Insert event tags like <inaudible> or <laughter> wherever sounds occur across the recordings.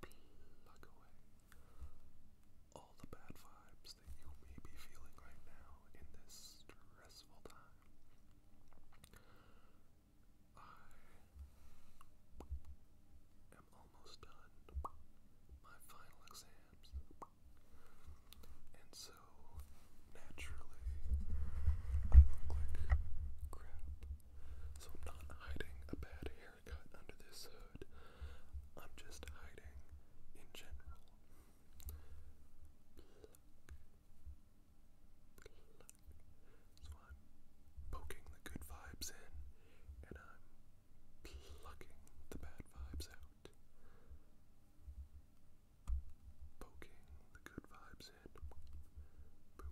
plug away all the bad vibes that you may be feeling right now in this stressful time. I am almost done my final exams. And so, naturally, I look like crap. So I'm not hiding a bad under this hood. I'm just hiding in general. So I'm poking the good vibes in and I'm plucking the bad vibes out. Poking the good vibes in. Boop.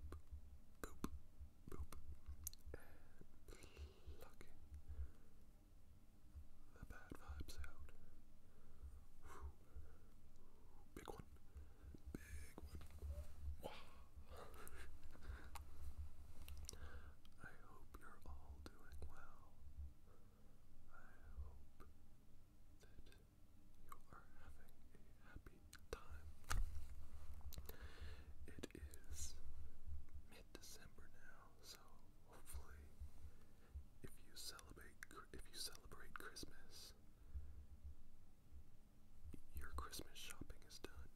Boop boop, and plucking the bad vibes out. Whew. Big one, big one. Wow. I hope you're all doing well. I hope that you are having a happy time. It is mid December now, so hopefully if you celebrate if you celebrate Christmas your Christmas shopping is done.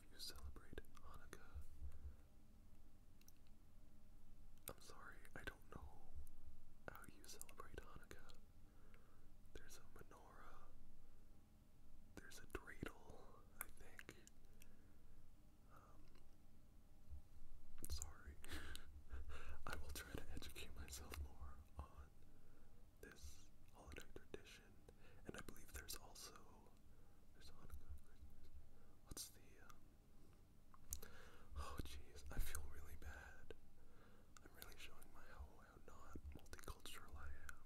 If you celebrate Hanukkah I'm sorry, I don't know how you celebrate Hanukkah. There's a menorah. There's a dreidel, I think. Um, sorry. <laughs> I will try to educate myself more on this holiday tradition, and I believe there's also there's Hanukkah, What's the um, Oh, jeez, I feel really bad. I'm really showing my how how not multicultural I am.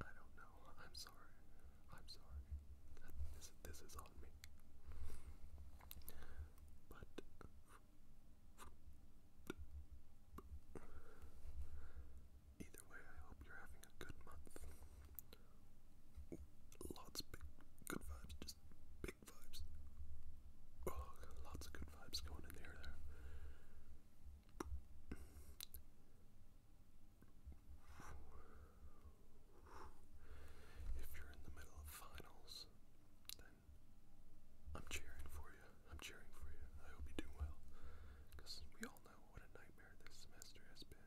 I don't know. I'm sorry. I'm sorry. This this is on me. But Either way, I hope you're having a good month. Lots of good vibes, just big vibes. lots of good vibes going in the air there. If you're in the middle of finals, I'm cheering for you. I'm cheering for you. I hope you do well. Because we all know what a nightmare this semester has been.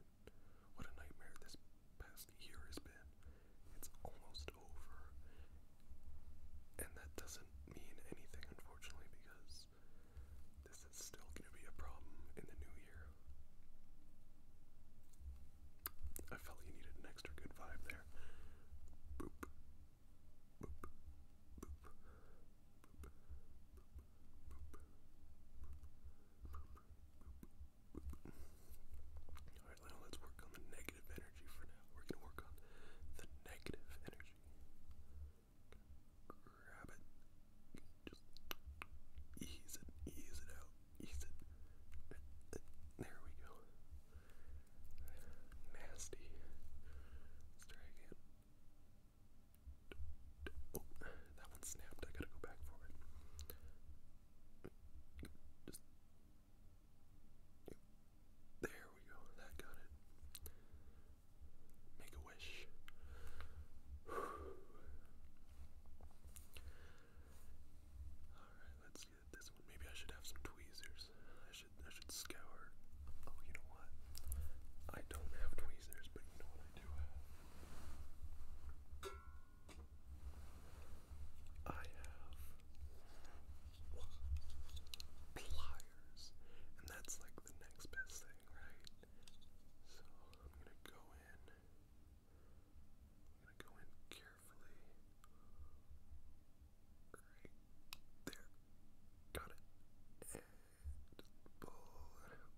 What a nightmare this past year has been. It's almost over. And that doesn't mean anything, unfortunately, because this is still going to be a problem in the new year. I felt you needed an extra good vibe there. Boop. All right, now let's work on the negative energy for now. We're going to work on the negative energy. Grab it. Just ease it, ease it out, ease it. There we go. Nasty. Let's try again. Oh, that one snapped. I gotta go back for it. there we go. That got it. Make a wish. <sighs> All right, let's Maybe I should have some tweezers. I should I should scour. Oh, you know what? I don't have tweezers, but you know what I do have. I have pliers, and that's like the next best thing, right? So I'm gonna go in. I'm gonna go in carefully. Right there. Got it. And just pull it out.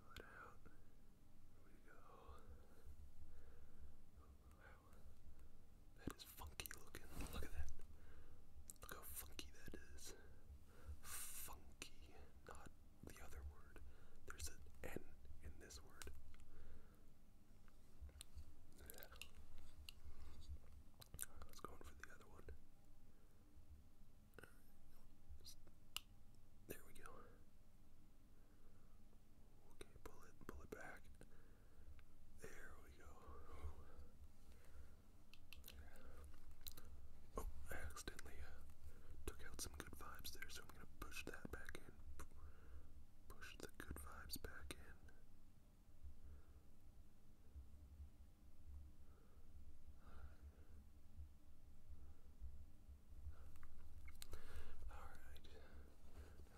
Pull it out. There we go. Wow. That is funky looking. Look at that. Look how funky that is. Funky, not the other word. There's an N in this word. Yeah. Alright, let's go in for the other one. There we go. Okay, pull it, pull it back. There we go. Oh, I accidentally uh, took out some good vibes there, so I'm gonna push that back in. Push the good vibes back in. Alright,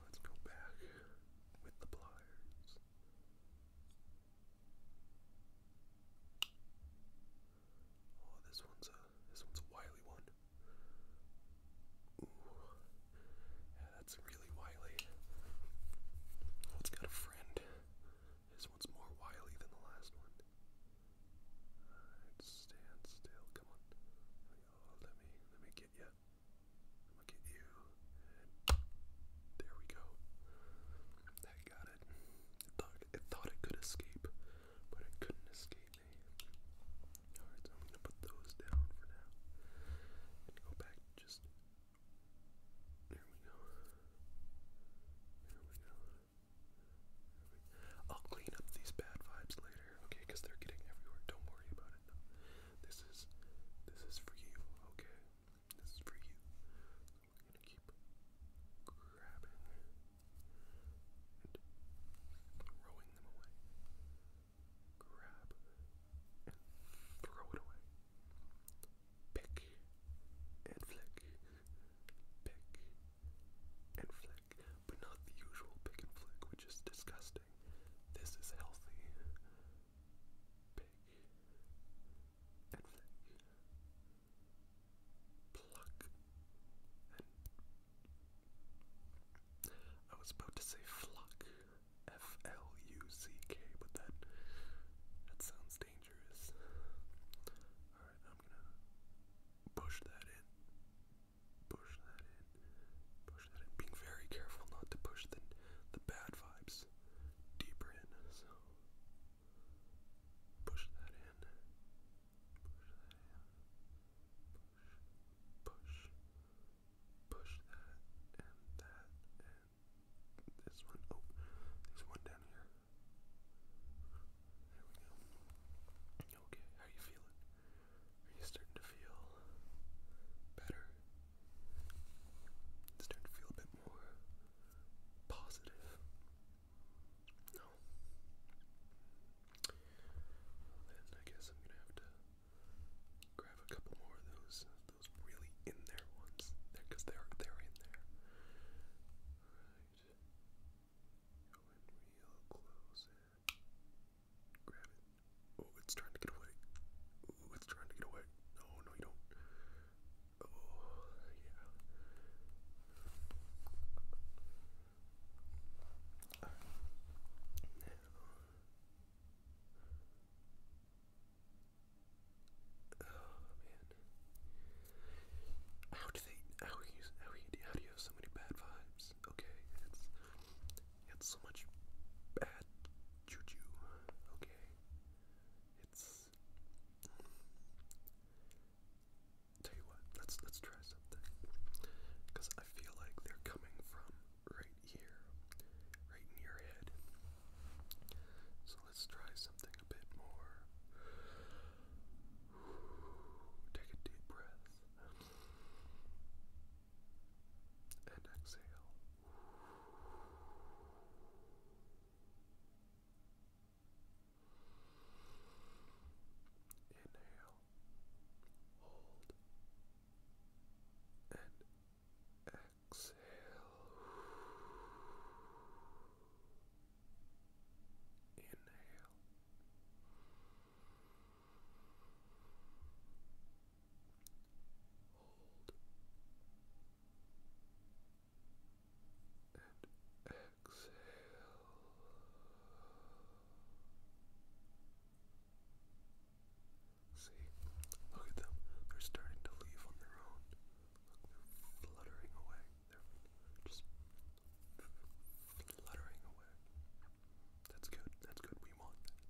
let's go back with the pliers. Oh, this one's a this one's a wily one. Ooh. Yeah, that's really wily. it's got a friend. This one's more wily than the last one. stand still. Come on. Oh, let me let me get you. I'm gonna get you. there we go. That got it. it, thought it could escape, but it couldn't escape. Alright, so I'm gonna put those down for now. go back just there we go. There we go. There we... I'll clean up these bad vibes later, okay, because they're getting everywhere. Don't worry about it. This is this is for you, okay? This is for you. we're gonna keep grabbing and throwing them away grab, and throw it away. Pick and flick, pick and flick, but not the usual pick and flick, which is disgusting. This is healthy. Pick and flick, pluck and I was about to say Fluck, F L U C K, but that that sounds dangerous. All right, I'm gonna push that in, push that in, push that in. Being very careful not to push the the bad vibes deeper in. So push that in, push that in, push push, push that and that and this one. Oh, there's one down here. There we go. Okay, how you feeling? Are you starting to feel better? Starting to feel a bit more positive. No. then I guess I'm gonna have to Grab a couple more of those, those really in there ones, because they're they're in there. Alright. Go in real close. Grab it. Oh, it's trying to get away. Oh, it's trying to get away. No, no, you don't. Oh, yeah. Oh man. How do they how you you how do you have so many bad vibes? Okay, it's it's so much bad juju. Okay. It's Tell you what, let's let's try something. Because I feel like they're coming from right here, right in your head. So let's try something a bit more. Take a deep breath. And exhale. Inhale. Hold and exhale. Inhale. Hold and exhale. See, look at them. They're starting to leave on their own. Look, they're fluttering away. They're just fluttering away. That's good. That's good. We want that.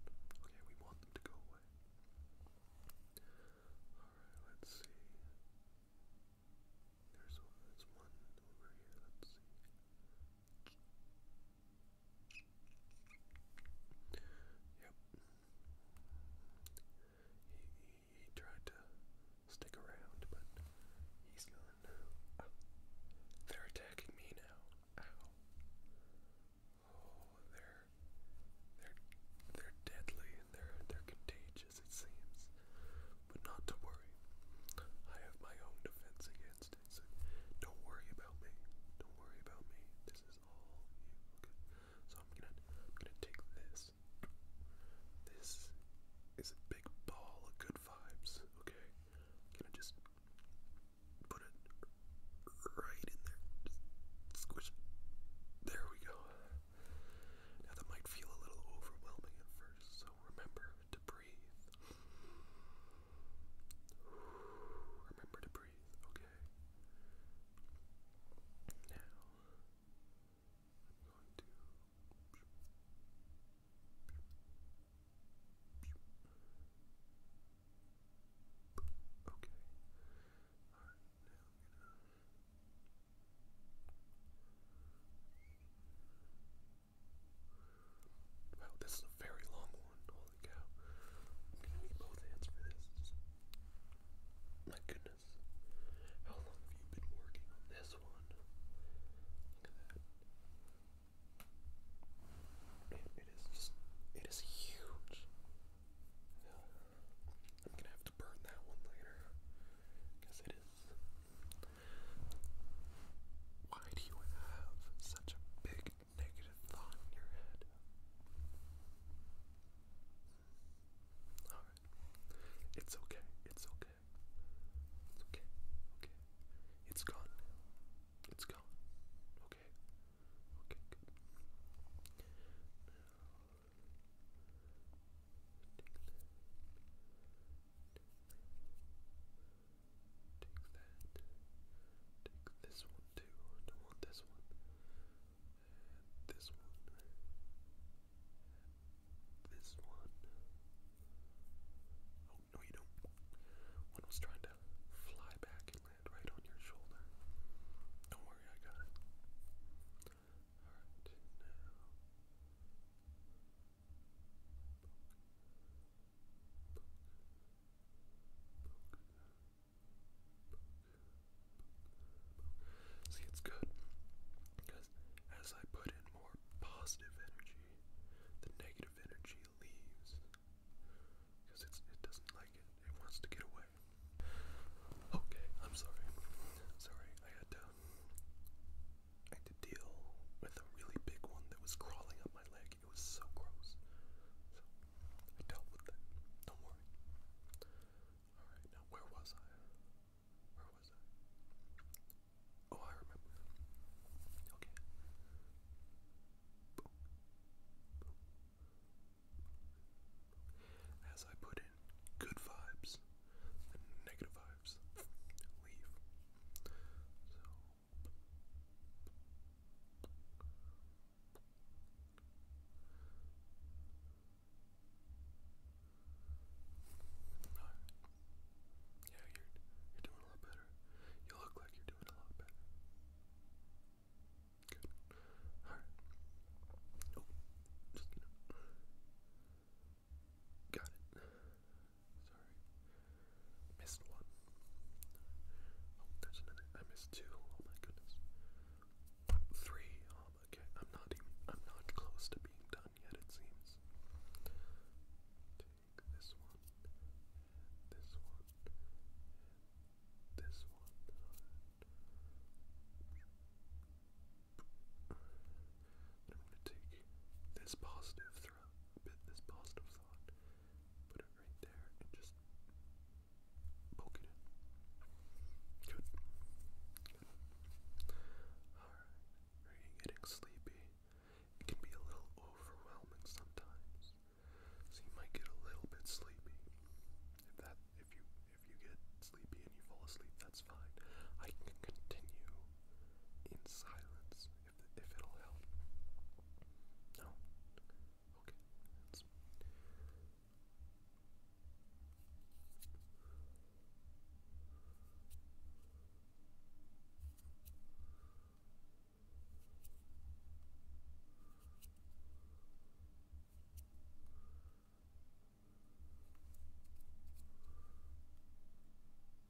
Okay, we want them to go away. Alright, let's see. There's one, over here. Let's see. Yep. He, tried to stick around, but he's gone they're attacking me now. Ow. Oh, they're they're they're deadly and they're they're contagious it seems. But not to worry. I have my own defense against don't worry about me. Don't worry about me. This is all you. So I'm gonna I'm gonna take this. This is a big ball of good vibes. Okay. gonna just put it right in there. Just squish. There we go. Now that might feel a little overwhelming at first, so remember to breathe. Remember to breathe, okay? Now, I'm going to. Okay. Alright, now I'm gonna. Wow, this is a very long one. Holy cow. I'm gonna need both hands for this. My goodness. How long have you been working on this one? Look at that. it is it is huge. I'm gonna have to burn that one later. Because it is why do you have such a big negative thought in your head? Alright. It's okay. It's okay. It's okay. Okay. It's gone It's gone. Okay. Okay, good. Take that. Take this one too. don't want this one. And this one. this one. Oh no, you don't. One was trying to fly back and land right on your shoulder. Don't worry, I got it. Alright, now. See, it's good because as I put in more positive energy, the negative energy leaves because it doesn't like it, it wants to get away. Okay, I'm sorry. Sorry, I had to I had to deal with a really big one that was crawling up my leg. It was so gross. So I dealt with that. Don't worry. Alright, now where was I? Where was I? Oh, I remember. Okay. As I put in good vibes and negative lives leave. Yeah, you're you're doing a lot better. You look like you're doing a lot better. Good. Alright. Oh, just going Got it. Sorry. Missed one. Oh, there's another. I missed two. Oh my goodness. Three. Um, okay, I'm not even. I'm not close to being done yet. It seems. Take this one. This one. This one. I'm going to take this positive transmit this positive thought, put it right there, and just poke it in. Good. Alright. Are you getting sleepy? It can be a little overwhelming sometimes. So you might get a little bit sleepy. If that if you if you get sleepy and you fall asleep, that's fine. I can continue in silence if, if it'll help. No? Okay. That's... Okay.